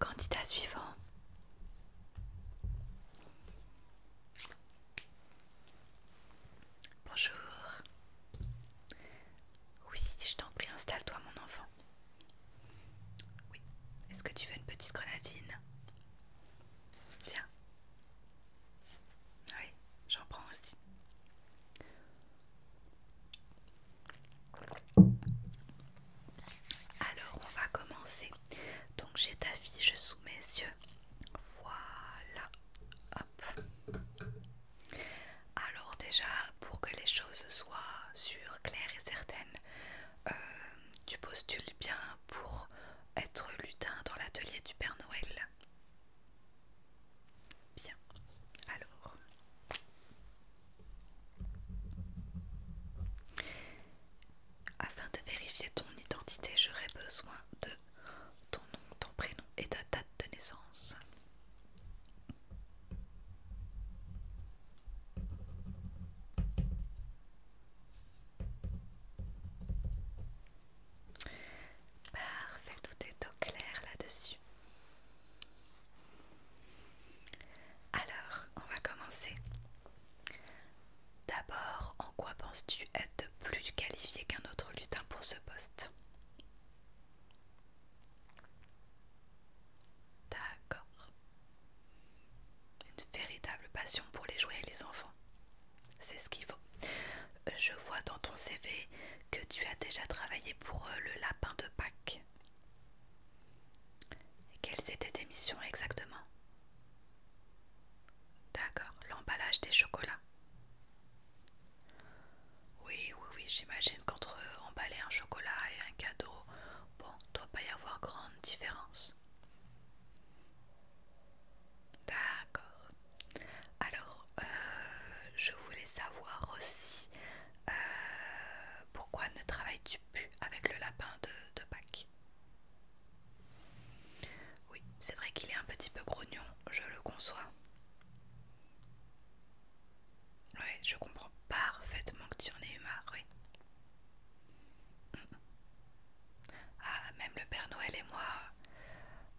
Candidat suivant. Bonjour. Oui, je t'en prie, installe-toi mon enfant. Oui. Est-ce que tu veux une petite grenadine Tiens. Ah oui, j'en prends aussi. Alors, on va commencer. Donc, j'ai ta fiche sous mes yeux. Voilà. Hop. Alors déjà, pour que les choses soient sûres, claires et certaines, euh, tu postules bien pour être lutin dans l'atelier du Père Noël. Bien, alors. Afin de vérifier ton identité, j'aurai besoin de ton nom, ton prénom et ta date de naissance. Parfait, tout est au clair là-dessus. Alors, on va commencer. D'abord, en quoi penses-tu être plus qualifié qu'un autre lutin pour ce poste D'accord. Une véritable passion pour les jouets et les enfants. C'est ce qu'il faut. Euh, je vois dans ton CV que tu as déjà travaillé pour euh, le lapin de Pâques. Quelles étaient tes missions exactement D'accord, l'emballage des chocolats. Oui, oui, oui, j'imagine qu'entre emballer un chocolat et un cadeau, Bon, doit pas y avoir grande différence. D'accord. Alors, euh, je voulais savoir aussi euh, pourquoi ne travailles-tu plus avec le lapin de Pâques Oui, c'est vrai qu'il est un petit peu grognon, je le conçois. Oui, je comprends parfaitement que tu en aies eu marre, oui. Mm. Ah, même le Père Noël et moi,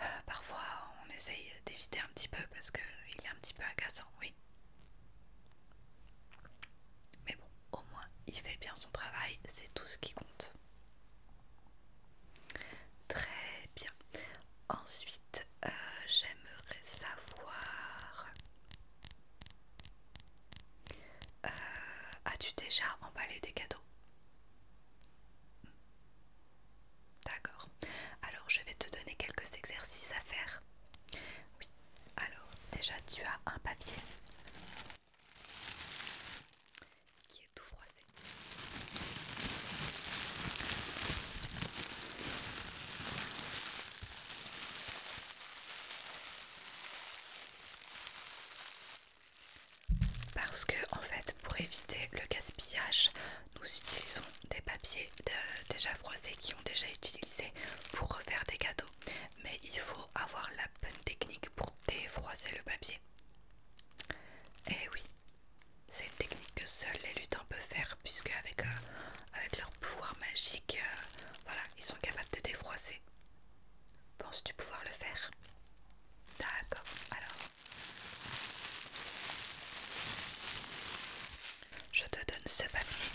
euh, parfois on essaye d'éviter un petit peu parce qu'il est un petit peu agaçant, oui. Mais bon, au moins il fait bien son travail, c'est tout ce qui compte. Très bien. Ensuite, euh, j'aimerais savoir euh, as-tu déjà emballé des cadeaux D'accord. Alors je vais te donner quelques exercices à faire. Oui. Alors déjà tu as un papier qui est tout froissé. Parce que en fait pour éviter le gaspillage nous utilisons des papiers déjà froissés qui ont déjà été utilisés pour refaire des cadeaux. mais il faut avoir la bonne technique pour défroisser le papier. Et eh oui, c'est une technique que seuls les lutins peut faire puisque avec, euh, avec leur pouvoir magique, euh, voilà, ils sont capables de défroisser. Penses-tu pouvoir le faire D'accord, alors. Je te donne ce papier.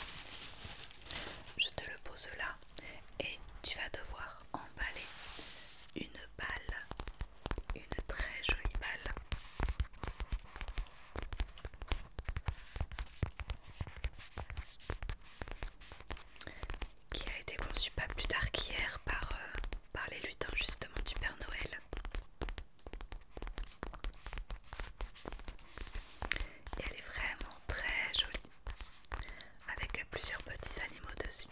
Je te le pose là et tu vas devoir emballer une balle, une très jolie balle qui a été conçu pas plus tard qu'hier par, euh, par les lutins justement du Père Noël. Et elle est vraiment très jolie, avec plusieurs petits animaux dessus.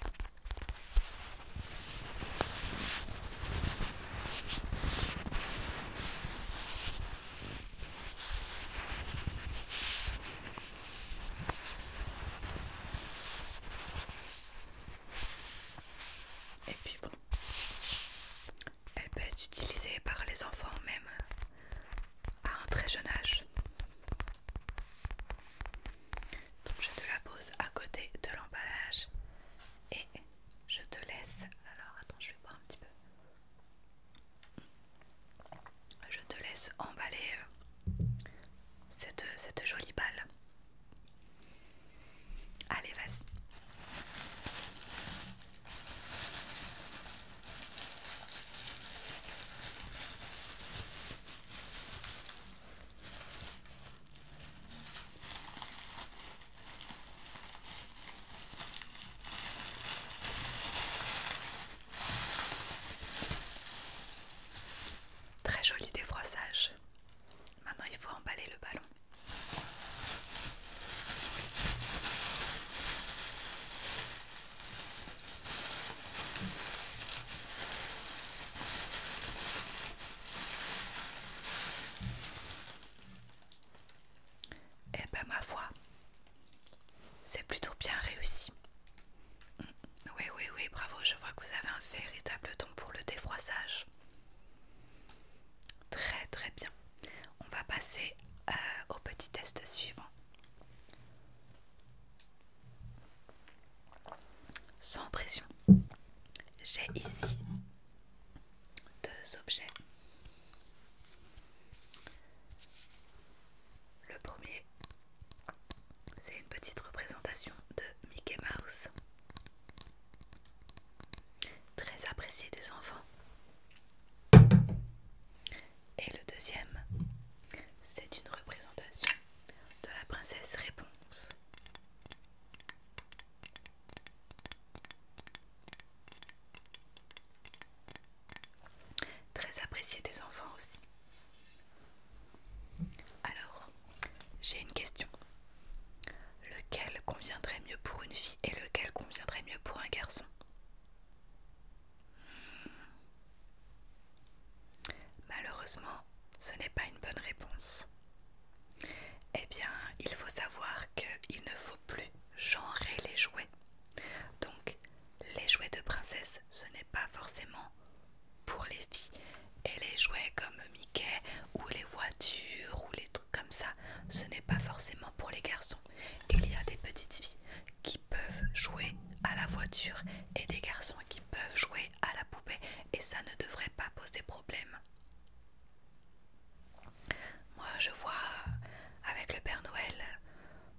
Et puis bon, elle peut être utilisée par les enfants même à un très jeune âge. Donc je te la pose à côté de l'emballage et je te laisse. Alors attends, je vais boire un petit peu. Je te laisse emballer euh, cette, cette jolie balle. Allez, vas-y. Très joli défroissage. Maintenant, il faut emballer le ballon. Et eh ben ma voix, c'est plutôt bien réussi. Oui, oui, oui, bravo, je vois que vous avez un véritable don pour le défroissage. Très très bien. On va passer euh, au petit test suivant. Sans pression, j'ai ici deux objets. Le premier, c'est une petite représentation de Mickey Mouse, très appréciée des enfants. Et le deuxième, c'est une représentation de la princesse Réponse. Très apprécié des enfants aussi. Alors, j'ai une question. Lequel conviendrait mieux pour une fille et lequel conviendrait mieux pour un garçon hmm. Malheureusement, ce n'est pas une bonne réponse. Eh bien, il faut savoir qu'il ne faut plus genrer les jouets. Donc, les jouets de princesse, ce n'est pas forcément pour les filles. Et les jouets comme Mickey ou les voitures ou les trucs comme ça, ce n'est pas forcément pour les garçons. Il y a des petites filles qui peuvent jouer à la voiture et des garçons qui peuvent jouer à la poupée, et ça ne devrait pas poser problème. Moi, je vois avec le Père Noël,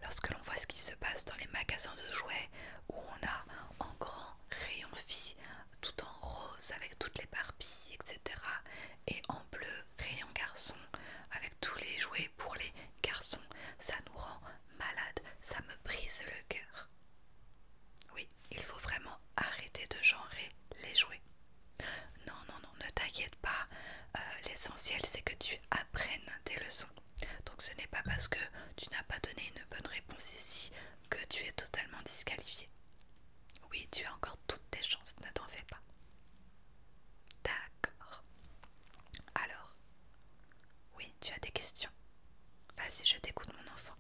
lorsque l'on voit ce qui se passe dans les magasins de jouets où on a en grand rayon fille tout en rose avec toutes les Barbies etc. Et en bleu rayon garçon avec tous les jouets pour les garçons, ça nous rend malade, ça me brise le cœur. Oui, il faut vraiment arrêter de genrer les jouets. Non, non, non, ne t'inquiète pas. Euh, l'essentiel, c'est que tu apprennes tes leçons. Donc ce n'est pas parce que tu n'as pas donné une bonne réponse ici que tu es totalement disqualifié. Oui, tu as encore toutes tes chances, ne t'en fais pas. D'accord. Alors, oui, tu as des questions. Vas-y, je t'écoute, mon enfant.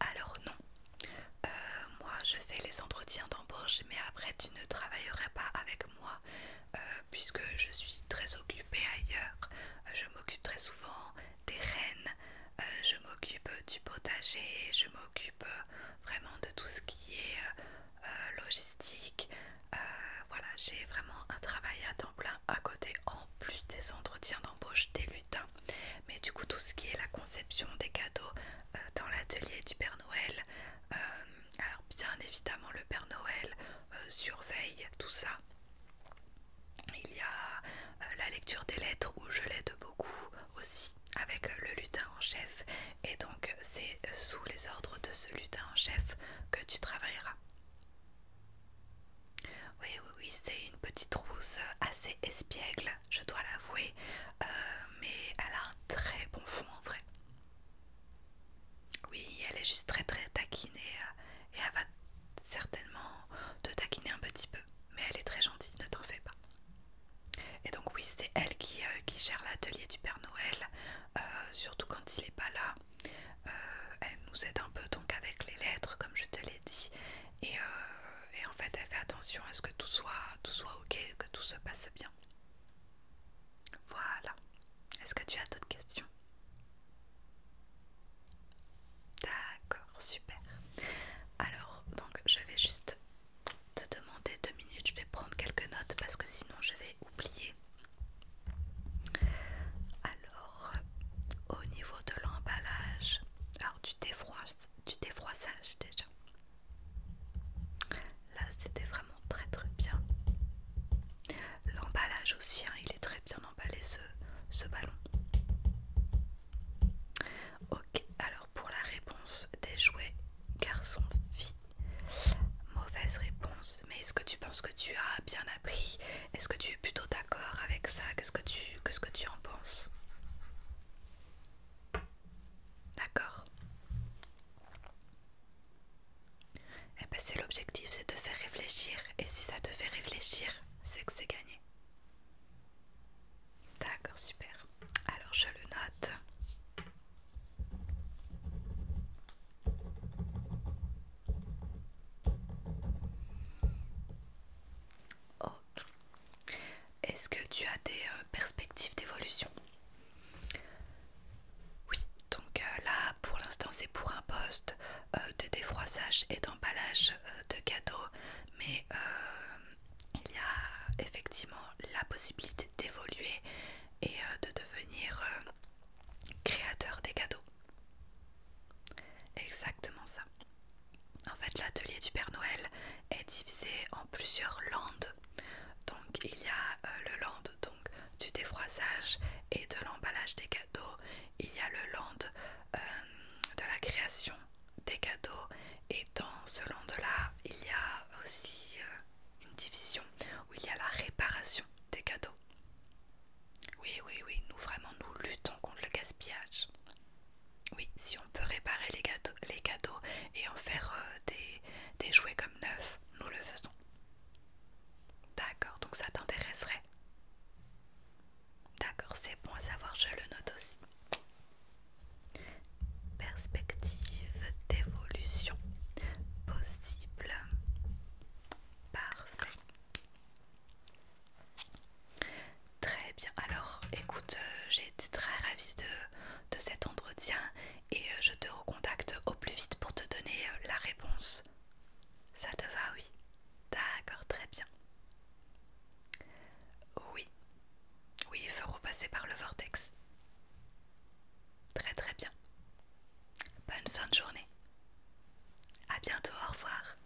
Alors non, euh, moi je fais les entretiens d'embauche, mais après tu ne travaillerais pas avec moi euh, puisque je suis très occupée ailleurs. Euh, je m'occupe très souvent des rennes, je m'occupe du potager, je m'occupe vraiment de tout ce qui est euh, logistique. Euh, voilà, j'ai vraiment un travail à temps plein à côté en plus des entretiens d'embauche des lutins. Mais du coup, tout ce qui est la conception des cadeaux euh, dans l'atelier du Père Noël, alors bien évidemment, le Père Noël surveille tout ça. Il y a la lecture des lettres où je l'aide beaucoup aussi avec le lutin en chef et donc c'est sous les ordres de ce lutin chef que tu travailleras. Oui, oui, oui, c'est une petite rousse assez espiègle, je dois l'avouer, euh, mais elle a un très bon fond en vrai. Oui, elle est juste très très taquinée et, euh, et elle va certainement te taquiner un petit peu, mais elle est très gentille, ne t'en fais pas. Et donc oui, c'est elle qui, euh, gère l'atelier du Père Noël, euh, surtout quand il n'est pas là. Euh, elle nous aide un peu donc avec les lettres, comme je te l'ai dit. Et, et en fait, elle fait attention à ce que tout soit, tout soit ok, que tout se passe bien. Voilà. Est-ce que tu as d'autres questions D'accord, super. Alors, donc je vais juste te demander deux minutes, je vais prendre quelques notes parce que sinon je vais oublier. Alors, au niveau de l'emballage, alors du, du défroissage déjà. Là, c'était vraiment très très bien. L'emballage aussi, hein, il est très bien emballé ce, ce ballon. Ok, alors pour la réponse des jouets garçon-fille, mauvaise réponse. Mais est-ce que tu penses que tu as bien appris Est-ce que tu es plutôt d'accord avec ça Qu'est-ce que tu, en penses D'accord. Eh bien c'est l'objectif, c'est de faire réfléchir. Et si ça te fait réfléchir, c'est que c'est gagné. D'accord, super. Alors je le note. Est-ce que tu as des euh, perspectives d'évolution Oui, donc euh, là pour l'instant c'est pour un poste euh, de défroissage et d'emballage de cadeaux, mais il y a effectivement la possibilité d'évoluer et euh, de devenir euh, créateur des cadeaux. Exactement ça. En fait, l'atelier du Père Noël est divisé en plusieurs landes. Donc, il y a euh, le land du défroissage et de l'emballage des cadeaux. Il y a le land de la création des cadeaux et dans ce land-là, il y a aussi euh, une division où il y a la réparation des cadeaux. Oui, oui, oui, nous vraiment, nous luttons contre le gaspillage. Oui, si on peut réparer les, cadeaux et en faire euh, des, des jouets comme neufs, nous le faisons. D'accord, donc ça t'intéresserait D'accord, c'est bon à savoir, je le note aussi. Perspective d'évolution possible. Parfait. Très bien. Alors, écoute, euh, j'ai été très ravie de, cet entretien et euh, je te recontacte au plus vite pour te donner euh, la réponse. Ça te va, oui D'accord, très bien. Oui, oui, ils feront passer par le vortex. Très très bien. Bonne fin de journée. À bientôt, au revoir.